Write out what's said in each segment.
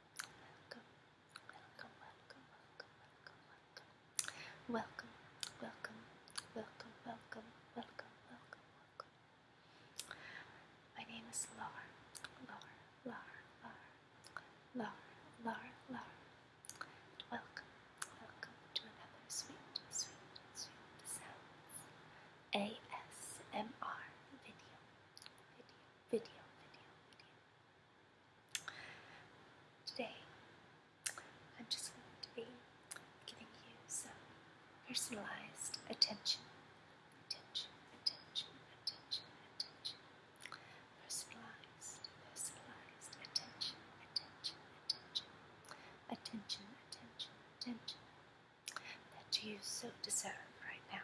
Welcome, welcome, welcome, welcome, welcome, welcome. Welcome, welcome, welcome, welcome, welcome, welcome, welcome. My name is Lar, Lar, Lar, Lar, Lar, Lar, Lar. And welcome, welcome to another sweet, sweet, sweet sounds ASMR video, video, video, video, video. Today, I'm just going to be giving you some personalized attention, attention, attention, attention, attention, personalized, personalized attention, attention, attention, attention, attention, attention that you so deserve right now.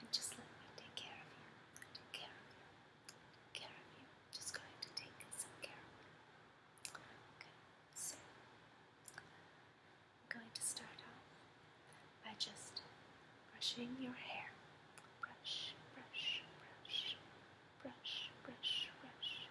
and just let me take care of you. I take care of you. care of you. am just going to take some care of you. so I'm going to start off by just brushing your hair. Brush, brush, brush, brush, brush, brush, brush.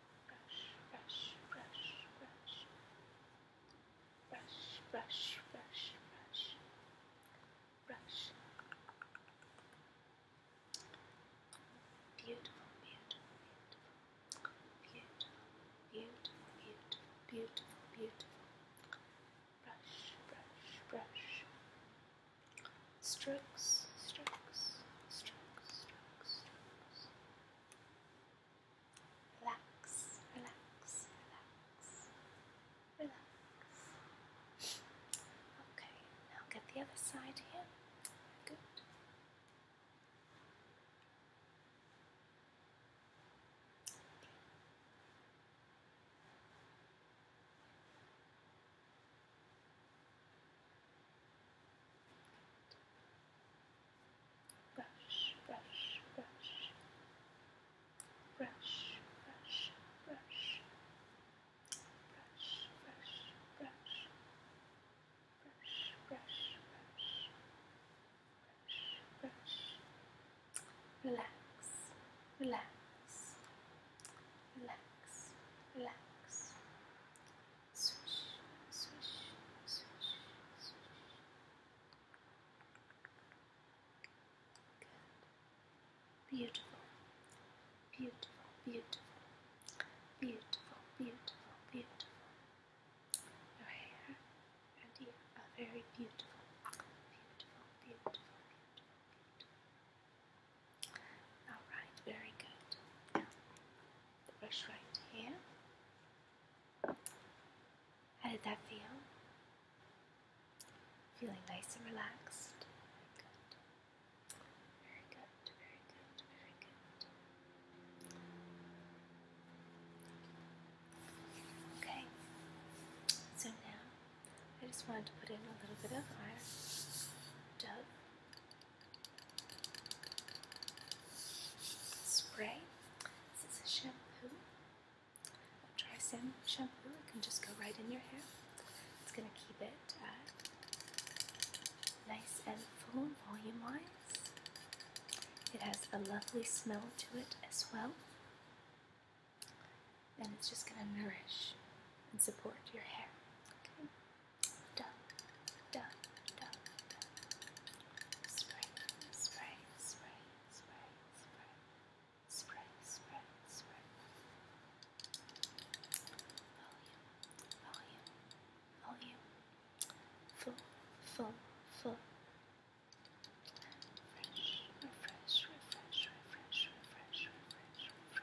brush, brush, brush, brush, brush, brush, brush, brush. Beautiful, beautiful, beautiful, beautiful, beautiful, beautiful, beautiful, beautiful. Brush, brush, brush, strokes, strokes, strokes, strokes, strokes. Relax, relax, relax, relax. Okay, now get the other side here. Good. Brush, brush, brush. Brush, brush, brush. Brush, brush, brush. Brush, brush, brush. Brush, brush. Relax, relax. Relax, relax, Swish, swish, swish, swish. Good. Beautiful. Beautiful, beautiful. Beautiful, beautiful, beautiful. Your hair and ear are very beautiful. Beautiful, beautiful, beautiful, beautiful. Alright, very good. brush right here. How did that feel? Feeling nice and relaxed. Very good. Very good, very good, Okay, so now I just wanted to put in a little bit of our dove spray. This is a shampoo, a dry sand shampoo. It can just go right in your hair. It's going to keep it uh, nice and full volume It has a lovely smell to it as well. And it's just going to nourish and support your hair. Okay. Duck, duck, duck, duck. Spray, spray, spray, spray, spray. Spray, spray, spray. Volume, volume, volume. Full, full, full. Refresh, refresh, refresh, refresh, refresh, refresh, refresh.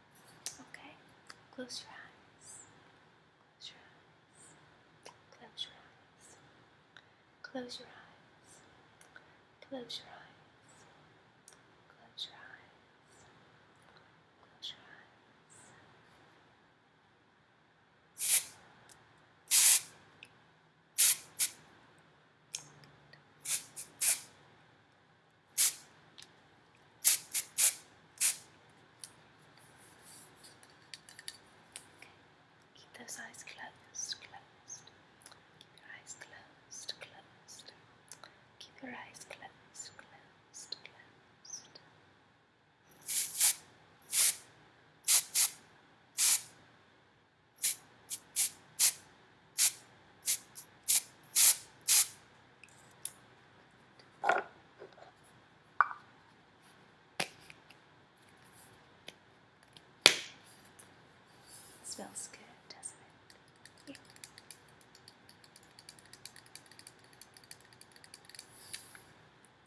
Okay, close your eyes. Close your eyes. Close your eyes. Close your eyes. Close your eyes. Close your eyes. Close your eyes. Keep those eyes closed, closed. Keep your eyes closed, closed. Keep your eyes closed, closed, closed. Smells good, doesn't it? Yeah.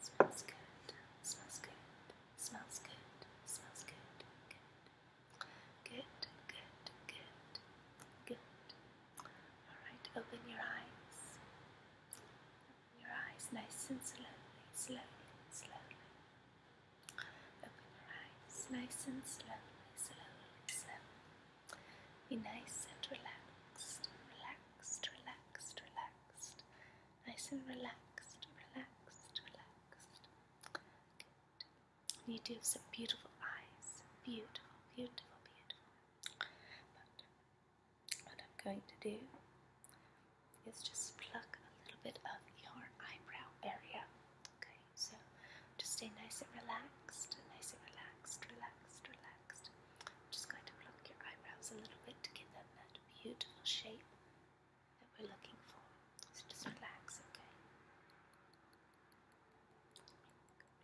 Smells good. Smells good. Smells good. Smells good. Good. Good, good, good, good. Alright, open your eyes. Open your eyes nice and slowly, slowly, slowly. Open your eyes nice and slowly, slowly, slowly. Be nice and relaxed, relaxed, relaxed, relaxed. Nice and relaxed, relaxed, relaxed. Good, you do have some beautiful eyes. Beautiful, beautiful, beautiful. But what I'm going to do is just pluck a little bit of your eyebrow area. Okay, so just stay nice and relaxed, nice and relaxed, relaxed, relaxed. just going to pluck your eyebrows a little bit to give them that beautiful shape that we're looking for. So just relax, okay?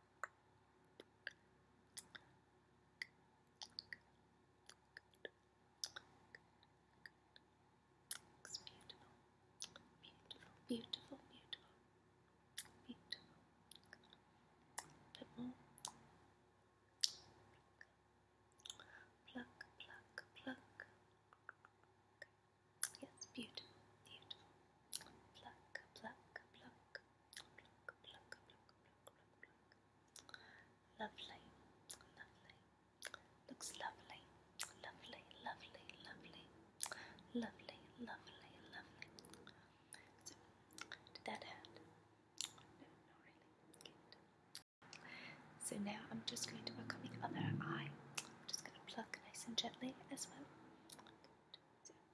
Looks beautiful, beautiful, beautiful, beautiful, beautiful. A bit more. Pluck, pluck, pluck. Okay. Yes, beautiful, beautiful. Pluck, pluck, pluck, pluck, pluck, pluck, pluck, pluck. Lovely, lovely. Looks lovely, lovely, lovely, lovely, lovely, lovely, lovely. So, that hurt? No, not really. Good. So now I'm just going to work on the other eye. I'm just going to pluck nice and gently as well.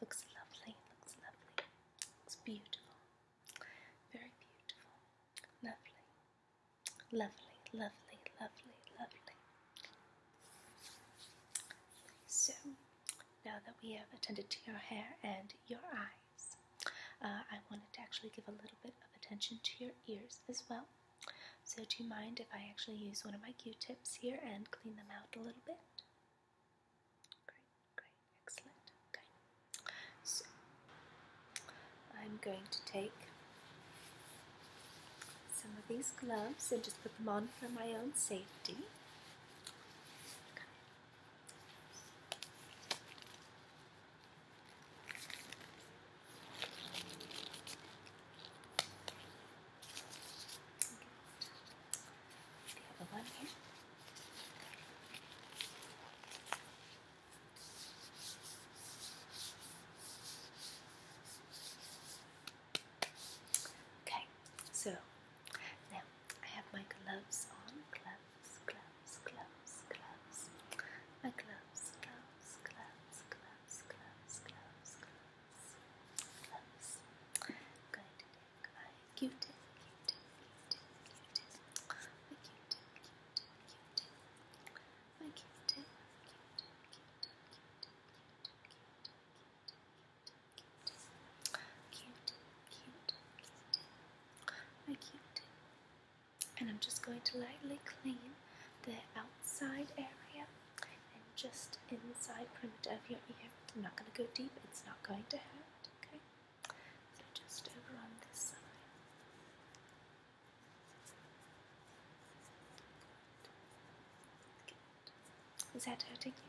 Looks lovely, looks lovely. Looks beautiful. Very beautiful. Lovely. Lovely, lovely, lovely, lovely. So, now that we have attended to your hair and your eyes, uh, I wanted to actually give a little bit of attention to your ears as well. So, do you mind if I actually use one of my q tips here and clean them out a little bit? Great, great, excellent. Okay, so I'm going to take some of these gloves and just put them on for my own safety. Okay. The other one here. Okay, so now I have my gloves on. Gloves, gloves, gloves, gloves. My gloves, gloves, gloves, gloves, gloves, gloves, gloves. gloves. I'm going to Goodbye. Q-tip, Q-tip, Q-tip, Q-tip. My Q-tip, Q-tip, Q-tip. My Q-tip, Q-tip, Q-tip, Q-tip, Q-tip, Q-tip, Q-tip, Q-tip, Q-tip. My Q-tip. And I'm just going to lightly clean the outside area and just inside perimeter of your ear. I'm not going to go deep, it's not going to hurt, okay? So just over on this side. Is that hurting you?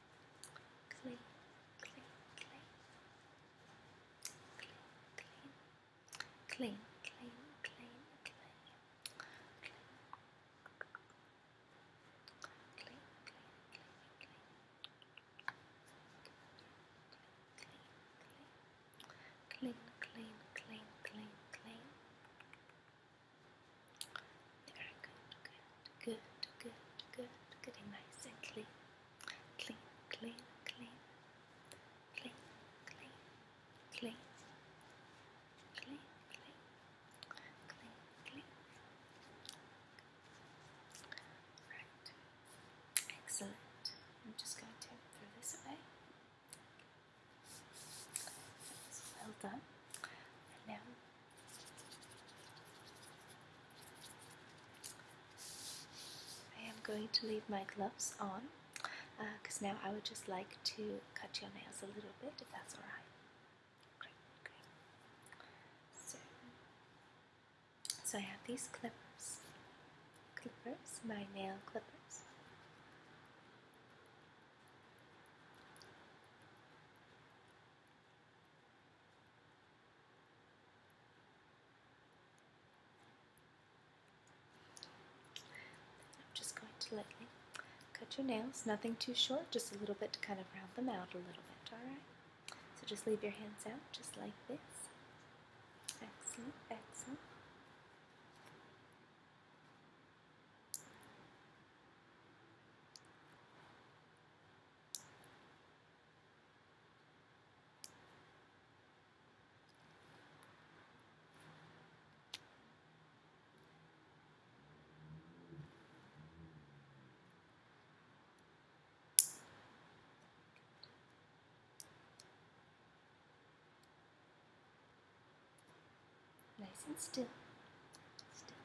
clean, clean, clean, clean, clean, clean, clean, clean, clean, clean, clean, clean, clean, clean, clean, clean, clean. Very good, good. Good, good, good, getting nice and clean. Clean, clean, clean. Clean, clean, clean. Clean, clean. Clean, clean. Right. Excellent. I'm just going to throw this away. That's well done. And now I am going to leave my gloves on because uh, now I would just like to cut your nails a little bit if that's alright. Great, great. So, so I have these clippers, clippers, my nail clippers. I'm just going to lightly cut your nails, nothing too short, just a little bit to kind of round them out a little bit, alright? So just leave your hands out just like this. Excellent, excellent. Nice and still. still.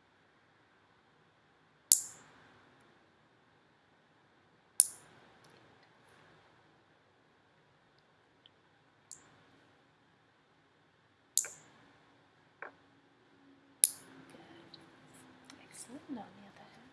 Good. Excellent. on the other hand.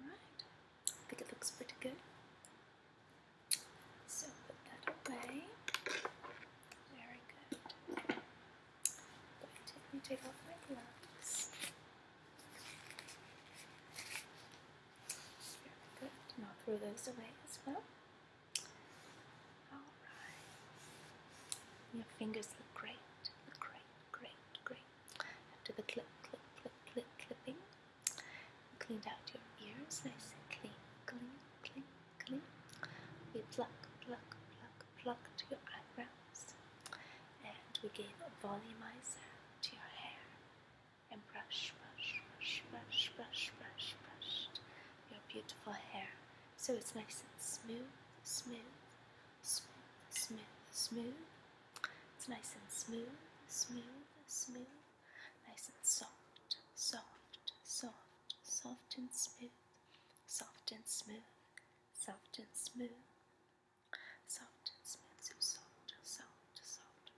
alright, I think it looks pretty good. So put that away. Very good. Going to take off my gloves. Very good. And I'll throw those away as well. Alright. Your fingers look great. great, great, great. After the clip, clip, clip, clip, clipping, cleaned out your ears nice and clean, clean, clean, clean. We pluck, pluck, pluck, plucked your eyebrows, and we gave a volumizer to your hair, and brush, brush, brush, brush, brush, brush, brushed your beautiful hair, so it's nice and smooth, smooth, smooth, smooth, smooth. It's nice and smooth, smooth, smooth. Nice and soft, soft, soft, soft and smooth. Soft and smooth, soft and smooth. Soft and smooth, so soft, soft, soft.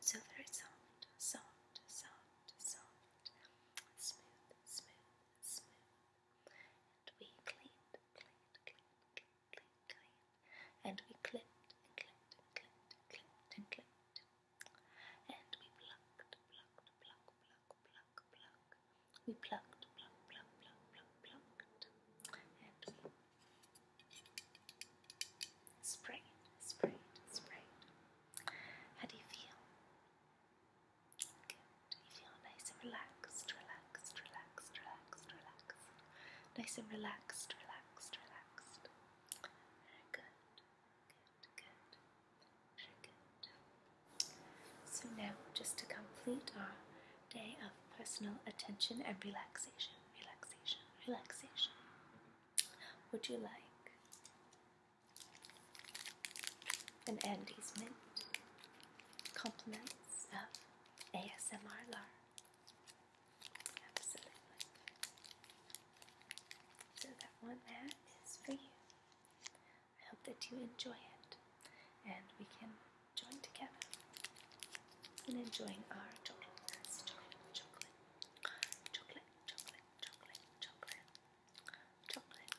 So very soft, soft, soft, soft. Smooth, smooth, smooth. And we cleaned, cleaned, cleaned, cleaned, clean, clean. And we clipped and clipped and clipped and clipped and clipped. And we plucked, plucked, pluck, pluck, pluck, pluck. We plucked, pluck, pluck, pluck, pluck, plucked. And we sprayed, sprayed, sprayed. How do you feel? Good. You feel nice and relaxed, relaxed, relaxed relaxed, relaxed, Nice and relaxed, relaxed, relaxed. Very good. Good, good. Very good. So now, just to complete our day of personal attention and relaxation, relaxation, relaxation. Would you like an Andes mint? Compliments of ASMR So that one mat is for you. I hope that you enjoy it and we can join together in enjoying our chocolate, chocolate, chocolate, chocolate, chocolate, chocolate, chocolate,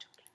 chocolate,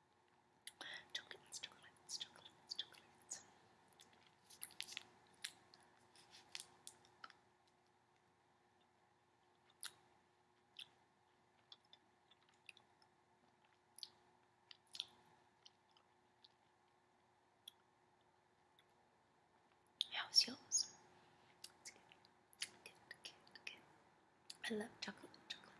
Chocolates, chocolates, chocolates, chocolates. How's yours? It's good. Good, good, good. I love chocolate, chocolate,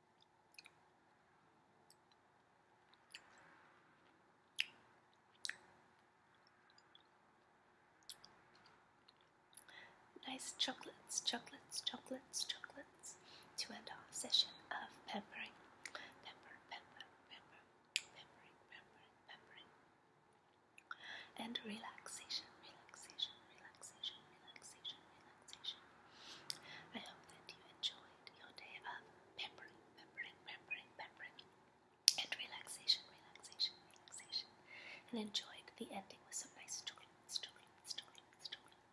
Nice chocolates, chocolates, chocolates, chocolates to end our session of peppering, pepper, pepper, pepper, peppering, peppering, and relaxation, relaxation, relaxation, relaxation, relaxation. I hope that you enjoyed your day of peppering remembering, remembering, remembering, and relaxation, relaxation, relaxation, and enjoyed the ending with some nice chocolates, chocolates, chocolates, chocolates.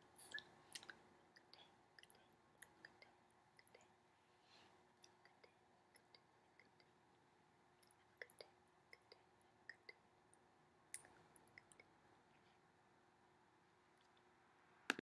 Good day, good day, good day, good day, good day, good day, good day, good day, good day, good day, good day.